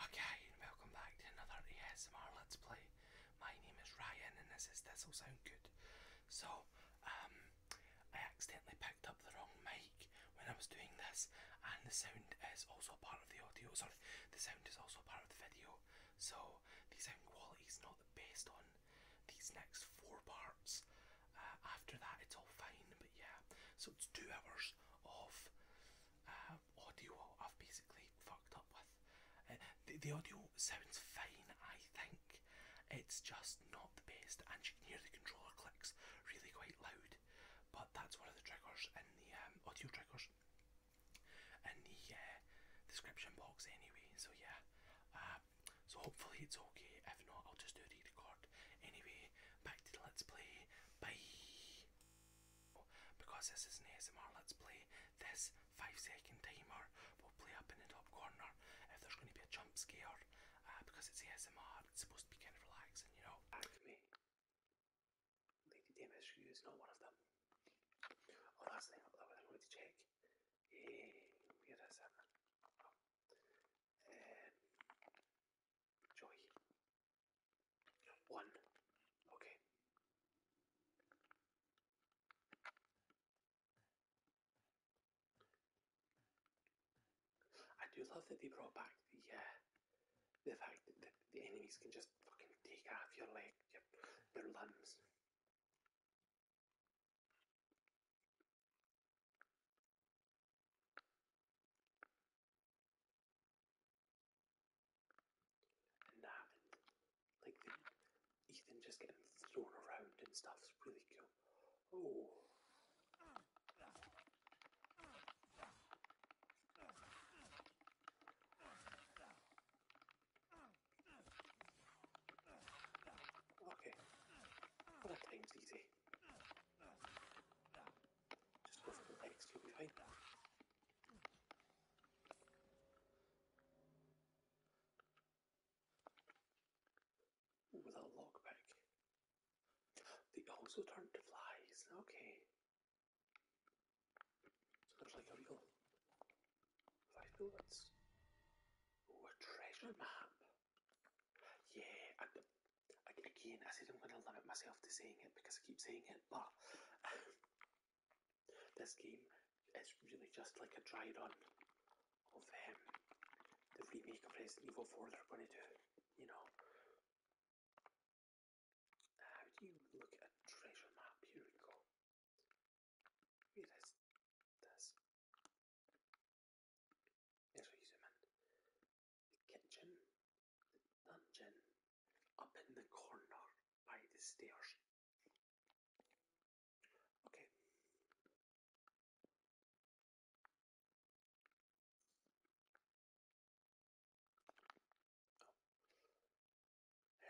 Okay, and welcome back to another ASMR Let's Play. My name is Ryan and this is This'll Sound Good. So, um, I accidentally picked up the wrong mic when I was doing this and the sound is also part of the audio, sorry, the sound is also part of the video. So, the sound quality is not based on these next four parts. Uh, after that it's all fine, but yeah. So it's two hours of um, audio I've basically fucked up with. Uh, the, the audio sounds fine, I think. It's just not the best, and you can hear the controller clicks really quite loud. But that's one of the triggers and the um, audio triggers in the uh, description box, anyway. So yeah, uh, so hopefully it's okay. If not, I'll just do a re-record. Anyway, back to the let's play. Bye. Because this is an ASMR Let's Play, this 5 second timer will play up in the top corner if there's going to be a jump scare. Uh, because it's ASMR, it's supposed to be kind of relaxing, you know. Back me. Lady Dame is not one of them. Oh, thing that I wanted to check. Hey, where is it? Oh. Um, Joy. One. Okay. I do love that they brought back the uh, the fact that the, enemies can just fucking take off your leg, your limbs and that, like Ethan just getting thrown around and stuff's really cool. Oh. Okay. What a easy with the legs look a log back. They also turn to flies, okay. So there's like a real five bullets. Oh, a treasure map. Yeah, again, I said I'm going to limit myself to saying it because I keep saying it, but this game is really just like a dry on of um, the remake of Resident Evil 4 they're going to do, you know. How do you look at treasure map? Here we go. Where is this? a man in the Kitchen, dungeon, up in the corner by the stairs. Okay. I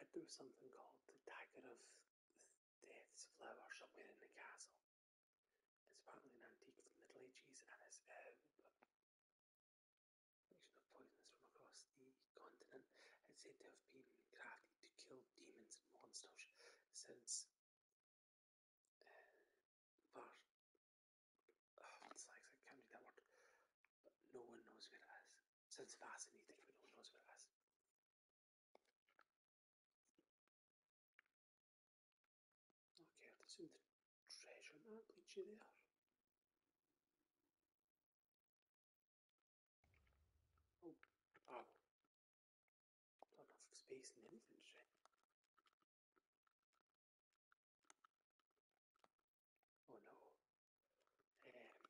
heard there was something called the Dagger of Death's Flower somewhere in the castle. It's apparently an antique from the Middle Ages and is um, collection of from across the continent. It's said to have been crafted to kill demons and monsters since uh, it's oh, like, I can't read that word. But no one knows where it is. Sounds fascinating, but no one knows where it is. Okay, I have to see the treasure map, which you there. Oh, wow. Not enough space in anything, shit. Oh no. Um,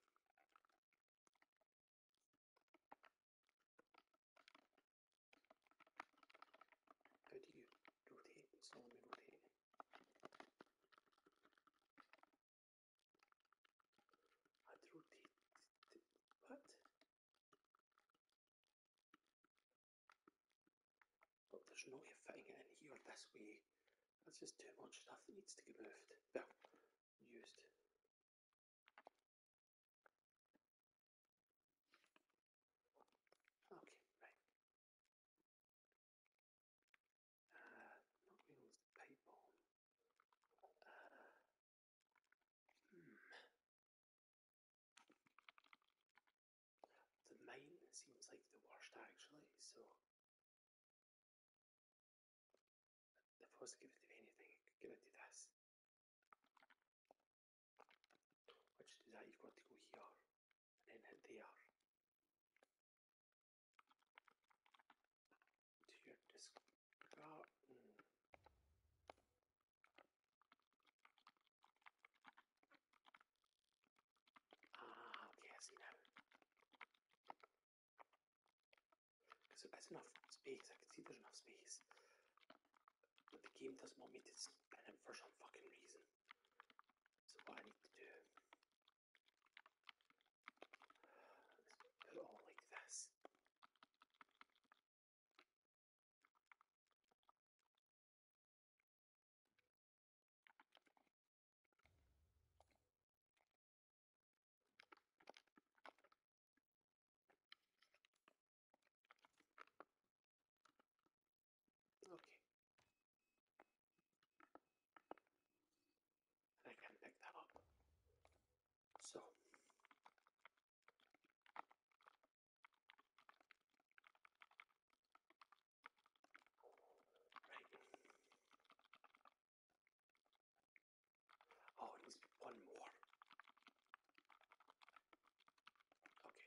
Thirty rotate, slowly rotate. i rotate what? there's no way of fitting it in here this way. That's just too much stuff that needs to be moved. Well, used. Okay, right. Uh, not wheels, the paintball. Hmm. The mine seems like the worst actually, so if I was to give it to anything, I could give it to this. أجزاء الكورتيكوستيار لأنها الديار تجسك Ah, okay, I see now. Because there's space, I can see there's space. But the game does not want meet its canon for some fucking reason. So what I need to do it all like this. Okay. I can pick that up. So. Right. Oh, it needs one more. Okay.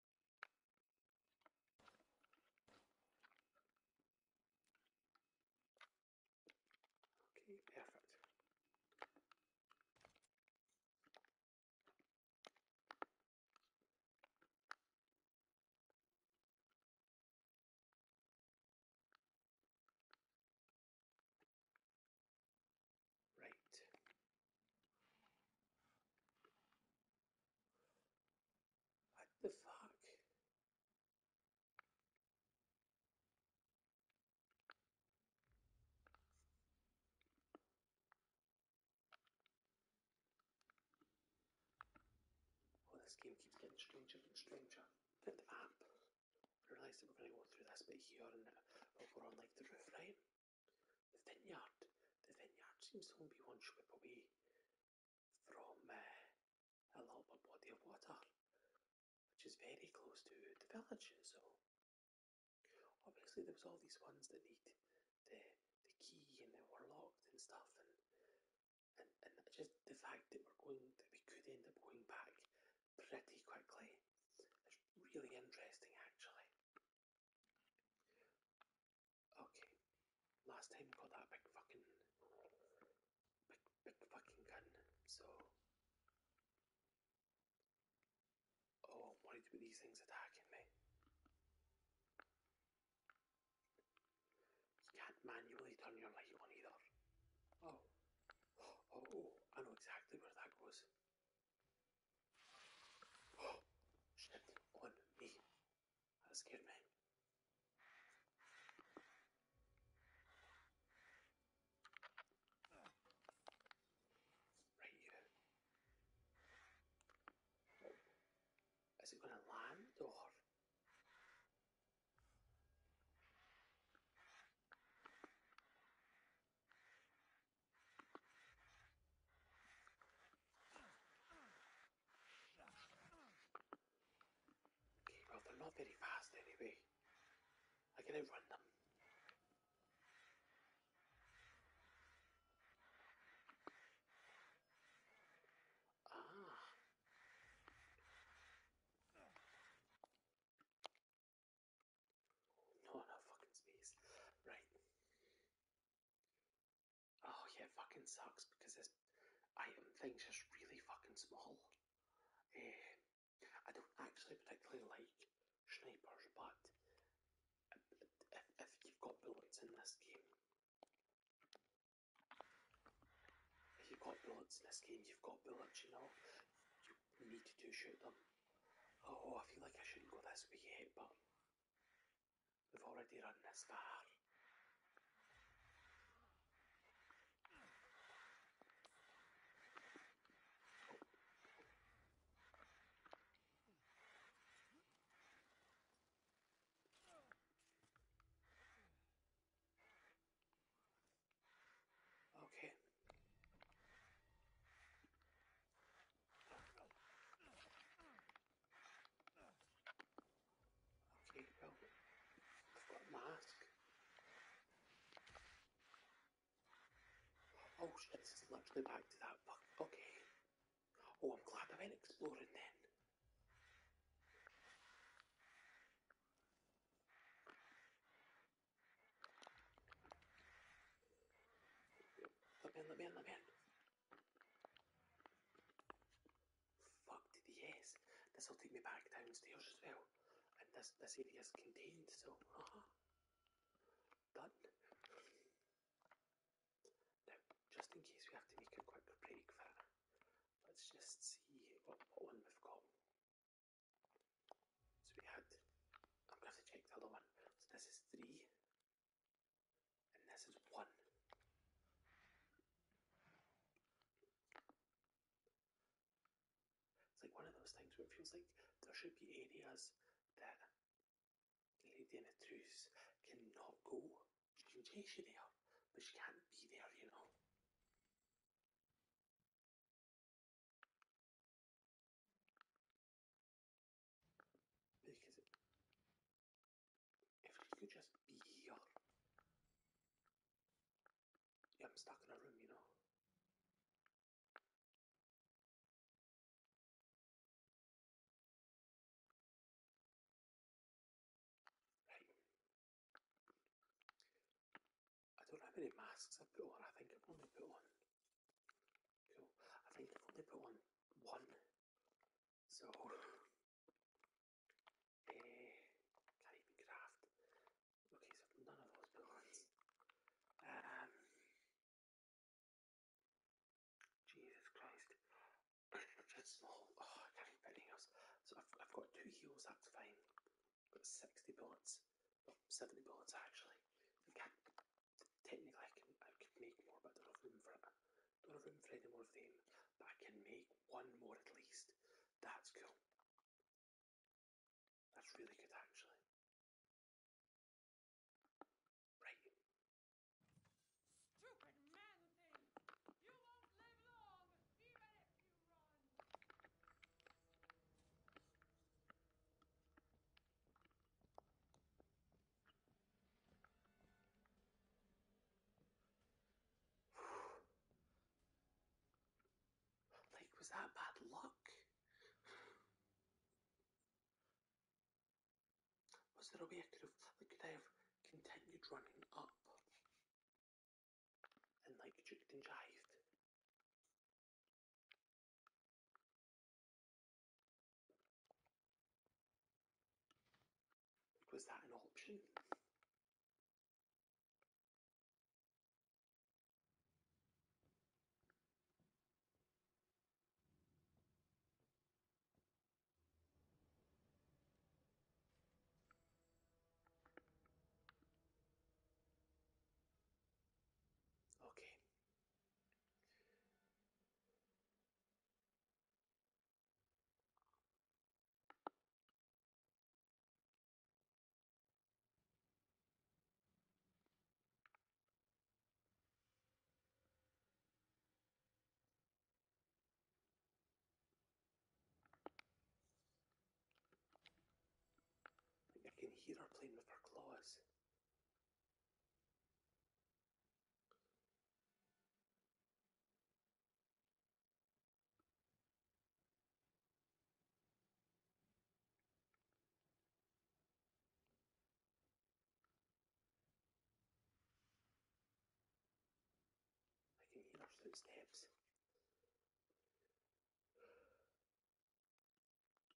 Okay, perfect. Right. What the fuck? Well, oh, this game keeps getting stranger and stranger. That app realised that we're going to go through this bit here and over on like the roof, right? The vineyard. The vineyard seems to only be one strip away from uh, a lower body of water, which is very close to the village. So obviously there was all these ones that need the the key and they were locked and stuff, and and, and just the fact that we're going that we could end up going back pretty quickly is really interesting actually. Okay. Last time you got that big fucking big big fucking gun, so Oh, I'm worried about these things attacking me. You can't manually turn your light on either. Oh. Oh, I know exactly where that goes. Oh, on me. Excuse me. Right here. Is it going to land or? Okay, well, they're not very fast anyway. I can outrun them. Ah. Not enough fucking space. Right. Oh yeah, fucking sucks because this item thing's just really fucking small. Eh, I don't actually particularly like snipers, but if, you've got bullets in this game, if you've got bullets in this game, you've got bullets, you know, you need to shoot them. Oh, I feel like I shouldn't go this way but We've already run this far. Okay. Okay, well, I've got a mask. Oh shit, this is literally back to that book. Okay. Oh, I'm glad I went exploring then. Let me in, let me in, Fucked yes. This will take me back downstairs as well. And this, this area is so... done. Now, just in case we have to make a quick break for let's just see what, what one we've got. So we had... I'm going to check the other one. So this is three. And this is one. It's like one of those things where it feels like there should be areas that Lady Anatrus cannot go. She can chase you there, but she can't be there, you know. Because if you could just be here, I'm stuck in a room, you know. Right. I don't know how masks I put on. I think I've only put on. Cool. I think I've only put on one so, eh, Caribbean Craft. Okay, so none of those villains. Um, Jesus Christ. Just small. Oh, can't even anything else. So I've, got two heals, that's fine. got 60 bullets. Oh, 70 bullets actually. Technically, I can I could make more, but I don't have room for it. do room for any more of them, but I can make one more at least. That's cool. That's really good, actually. Right. Like, was that bad luck? Was there a way I could have, like, could I have continued running up and, like, juked and jived? Was that an option? Okay. I can hear her playing with her claws. I can hear footsteps.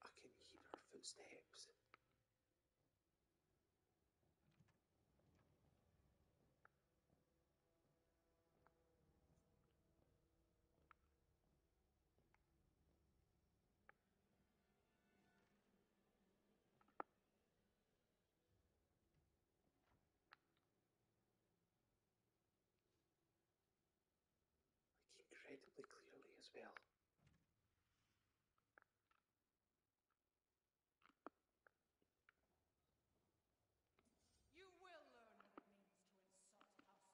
I can hear her footsteps. Like incredibly clearly as well.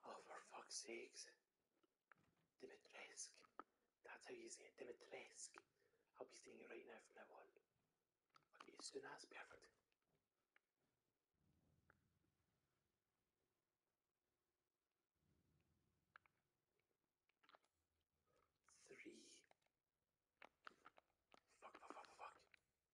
Oh, for fuck's sakes. Dimitrescu. That's how you say it, Dimitrescu. I'll be seeing it right now from now on. Okay, soon that's perfect. Three.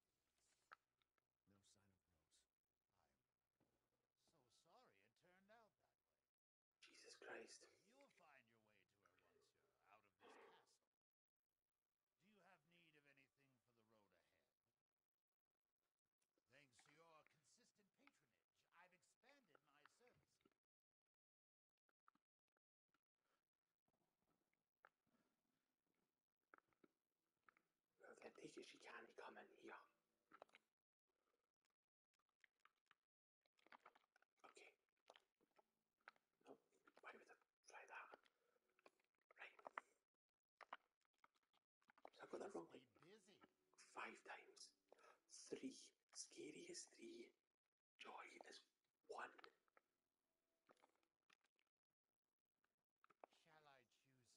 No sign of Rose. I'm so sorry it turned out that way. Jesus Christ. You'll find your way to her once you're out of this castle. Do you have need of anything for the road ahead? Thanks to your consistent patronage, I've expanded my services. Letztendlich ist die Janik kommen hier. Okay. No, wait a minute. Try that. Right. So I got that wrong like five times. Three. Scariest three. Joy is one. Shall I choose something for you?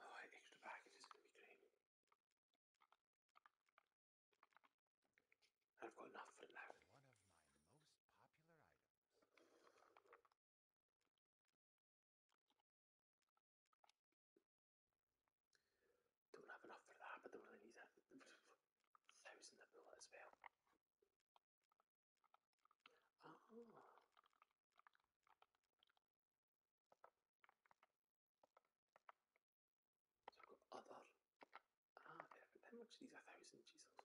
Oh, extra package is going I've got enough for now. One of my most popular items. Don't have enough for that, but don't really need it. Thousand of as well. So I've got other. Ah, How much these? A thousand, Jesus.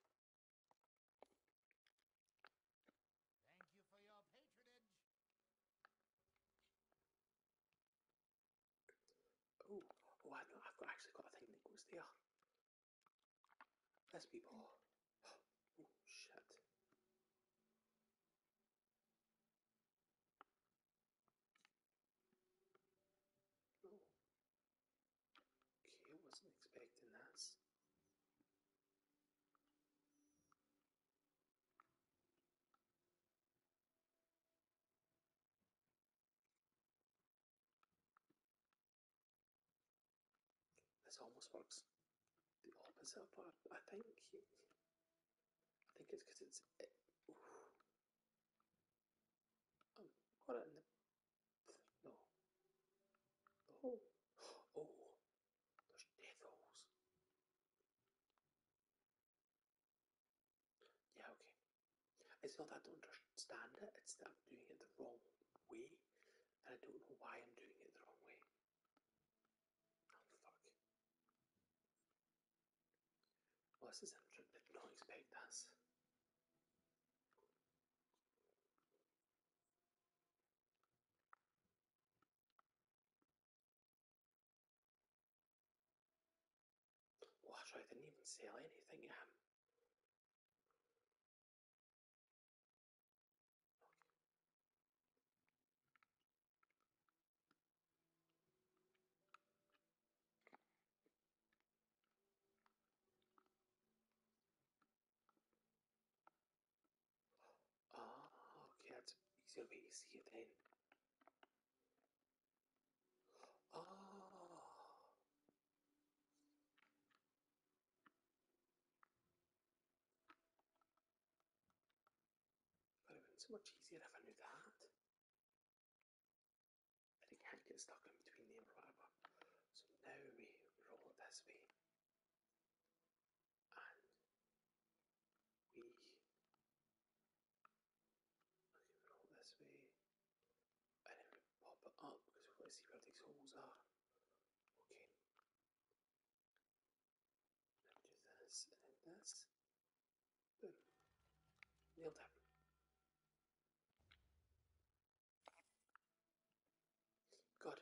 Thank you for your patronage. Oh, oh, I know, I've got, actually got a thing that goes there. Let's Oh, shit. Oh. wasn't expecting this. This almost works the opposite of what I think. I think it's because it's. oh, No. Oh. Oh. There's death yeah, okay. It's not that I don't understand it, it's that I'm doing it the wrong way, and I don't know why I'm doing it the wrong way. Oh, fuck. Well, this is interesting. Did not expect us. Watch! I didn't even sell anything to him. Ah, okay, that's easier to see it then. Ah. Oh. But it would been so much easier if I knew that. But it can't get stuck in between them or whatever. So now we roll it this way and we okay, roll this way and then we pop it up because we want to see where these holes are. Okay. do this and then this. Boom. Nailed it. God, i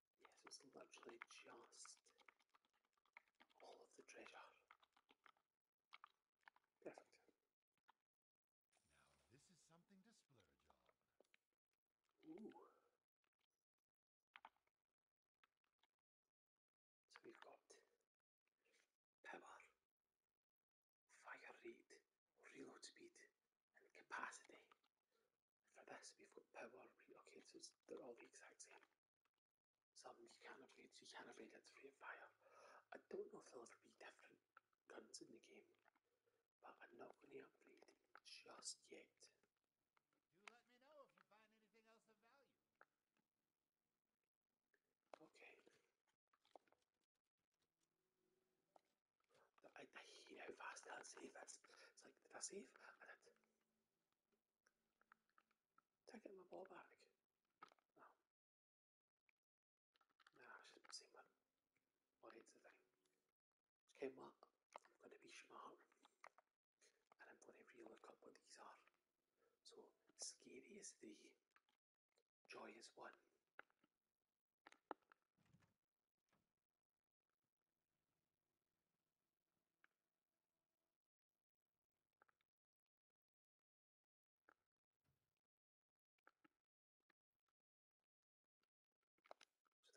Yes, it's literally just all of the treasure. Perfect. Now, this is something to splurge on. So we've got power, fire rate, reload speed, and capacity for this we've got power, okay, they're all the exact same. Some you can't upgrade, so you can't upgrade it to free fire. I don't know if there'll be different guns in the game, but I'm not going to upgrade just yet. Do let me know if you find anything else of value. Okay. I, I fast that save is. It's like, did I save? I Take it get my ball back? Oh. No. I shouldn't see my what is the thing. Okay, Mark, I'm gonna be smart and I'm gonna re what these are. So scary is three, joy is one.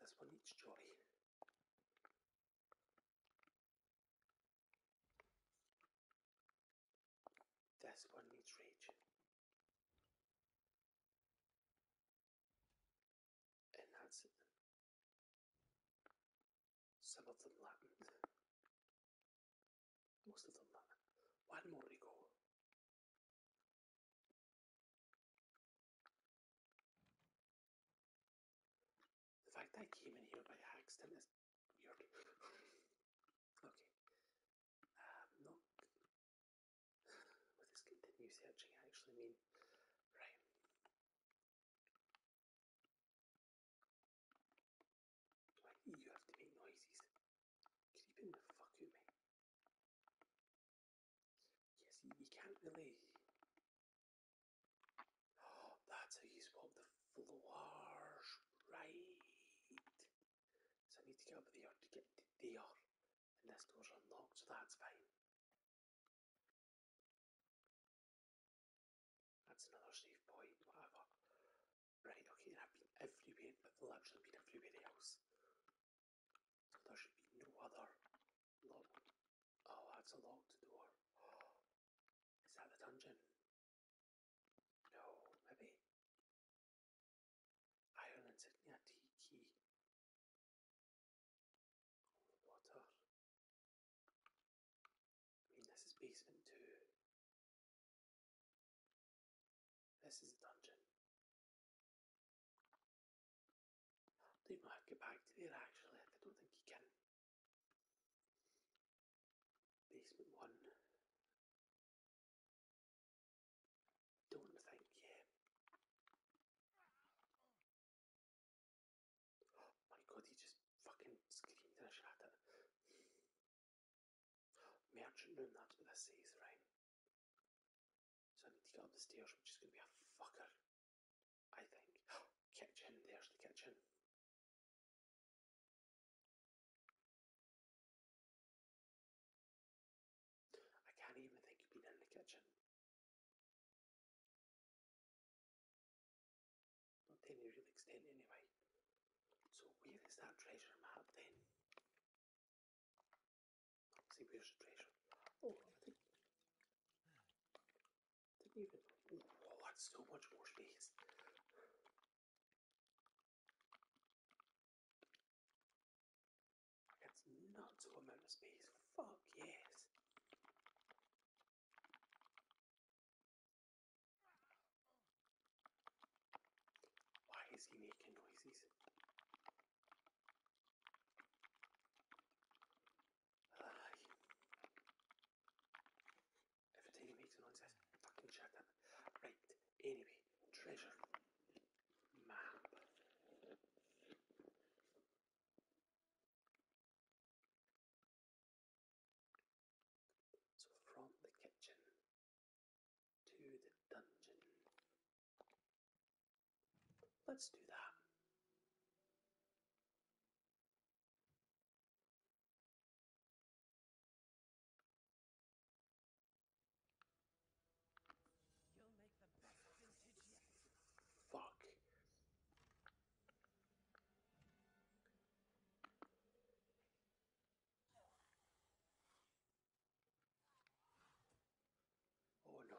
So that's one each jolly. That's one each rage and Nazi. Some of them Latin. Most of them Latin. One more to The fact I came in here by accident is weird. okay. Um, no. What does continue searching actually mean? Right you have to make noises? Keep in the fuck out me. You you can't really. Oh, that's how you swap the floors, right? So I need to get up there to get to there. And this door's unlocked, so that's fine. That's another save point, whatever. Right, okay, and have been everywhere, but literally been everywhere else. So there should be no other lock. Oh, that's a locked door. is that the dungeon? No, maybe. Iron insignia T key. Water. I mean, this is basement two. This is a dungeon. I do get back to there actually. I don't think you can. Basement one. Don't think, yeah. my god, he just fucking screamed and I shot it. Merchant room, that's what this says, right? So I need to get up the stairs, which is going to be a fucker. I think. kitchen, there's the kitchen. I can't even think you've been in the kitchen. Not any real extent anyway. So where is that treasure map then? see where's the treasure. Oh, I think didn't even Oh that's so much more space. It's not what member space. Fuck yes. Why is he making noises? Every time he makes a fucking shut him. Right, anyway, treasure. Map. So from the kitchen to the dungeon. Let's do that. You'll make the best vintage yet. Fuck. Oh no.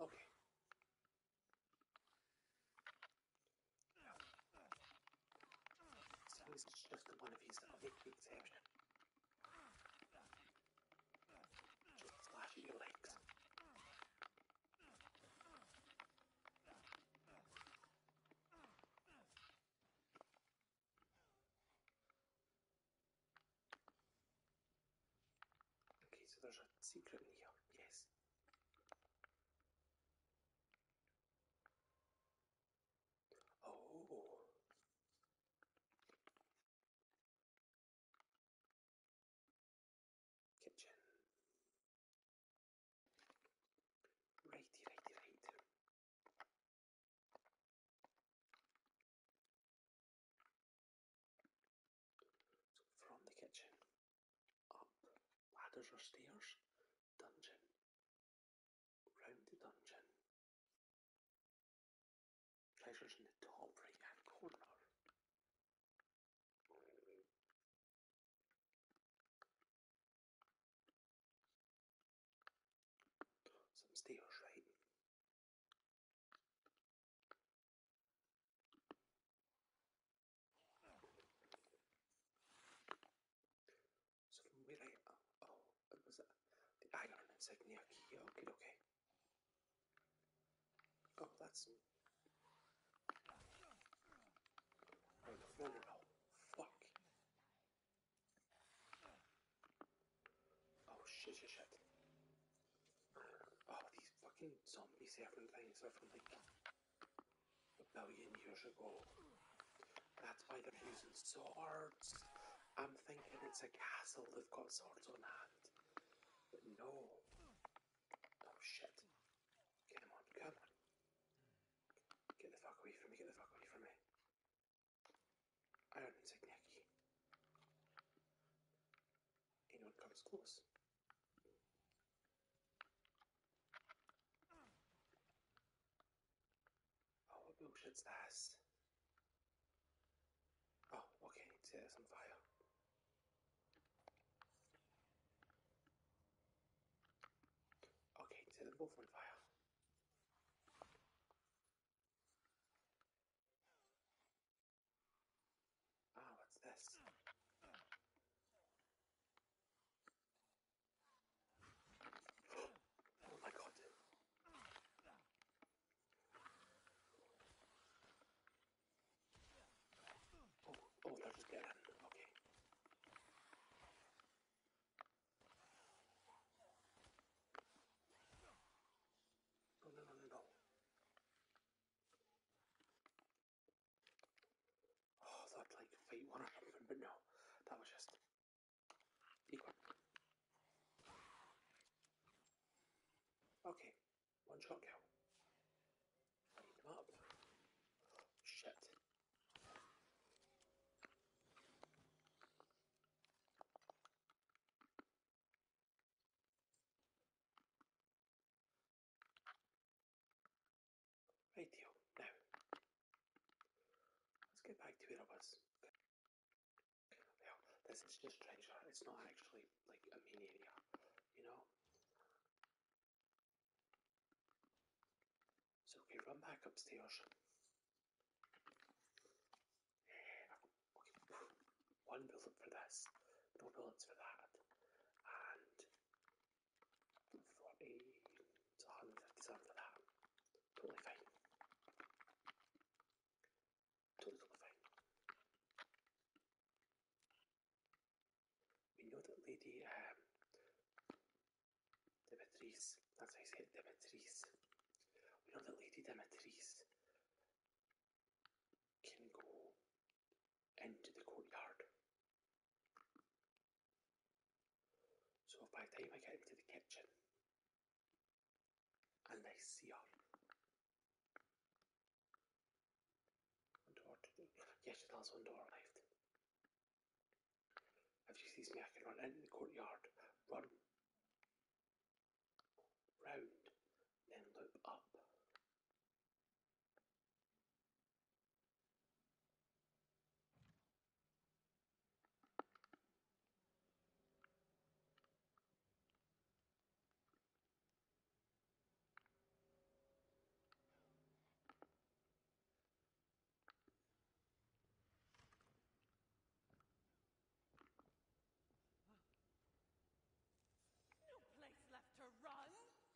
Okay. So this just one of these that'll Just slashing your legs. Okay, so there's a secret in here. Yes. Oh. Kitchen. Righty, righty, right. from the kitchen, up ladders or stairs, dungeon, round the dungeon, treasures in the top right hand corner. Some steels, right? So from where I oh, oh it was uh, the iron insignia key. Okay, okay. Oh, that's Wait, no, no, no. Fuck. Oh, shit, shit, shit. Oh, these fucking zombies having things are from like a billion years ago. That's why they're using swords. I'm thinking it's a castle, they've got swords on hand. But no. Oh shit. Come on, come on. Get the fuck away from me, get the fuck away from me. Iron insignia key. Anyone comes close. Oh, what bullshit's Oh, okay, set this on fire. Okay, so the are both fire. Ah, what's this? Oh my god. Oh, oh, that was Garen. Okay. No, no, oh, no, no, no. I thought like fight one or something, but no. That was just equal. Okay. One shot kill. Come up. Shit. Now, let's get back to where I was. Well, this is just treasure. It's not actually like a main you know. So we run back upstairs. Okay. One bullet for this, no bullets for that, and 40, so 157 for that. Totally fine. Totally fine. We know that Lady um, Dimitris, that's how you say it, Dimitris. We know that Lady Dimitris can go into the courtyard. So by the time get into the kitchen and I see her, Yes, to also Yes, door has left. If she sees me, I can run into the courtyard, run round, then loop up.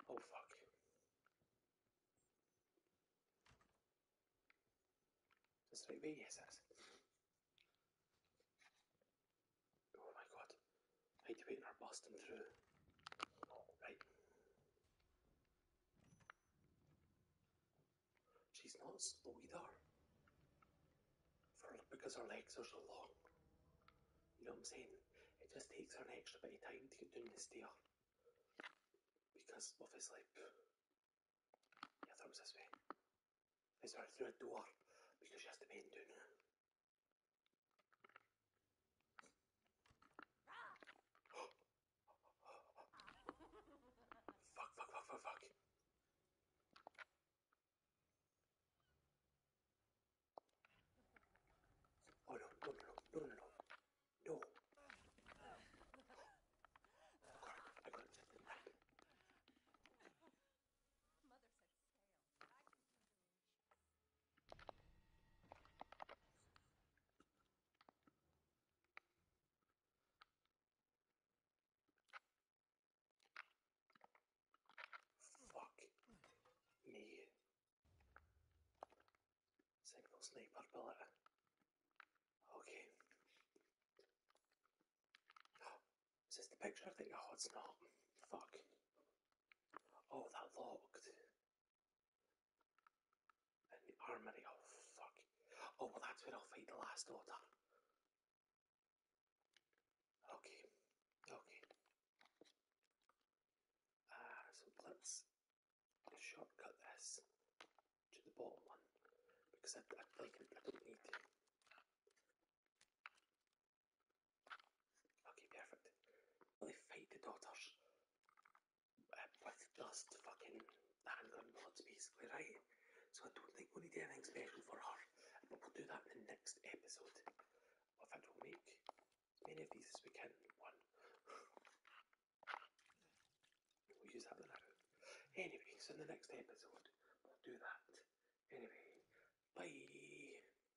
Oh, fuck. Entonces soy bellezas. Oh my god left. Hide waiting or bust through. Right. She's not slow either. For, because her legs are so long. You know what I'm saying? It just takes her an extra bit of time to get down the stair. Because obviously, yeah, that was this way. It's her through a door because she has to bend down fuck, fuck, fuck, fuck, fuck. Oh no, no, no, no, no, no, no. No. Oh god, I got it. Mother said scale. I can do Fuck me. Single sniper bullet. Okay. is this the picture? I think, oh, it's not. Fuck. Oh, that locked. In the armory, oh fuck. Oh, well, that's where I'll fight the last order. Okay, okay. Ah, so let's shortcut this to the bottom one because I, I don't need Okay, perfect. They fight the daughters um, with just fucking handgun bullets, basically, right? So I don't think we need anything special for her, we'll do that in the next episode. In fact, we'll make as many of as we can. One. We'll use that Anyway, so in the next episode, we'll do that. Anyway, bye.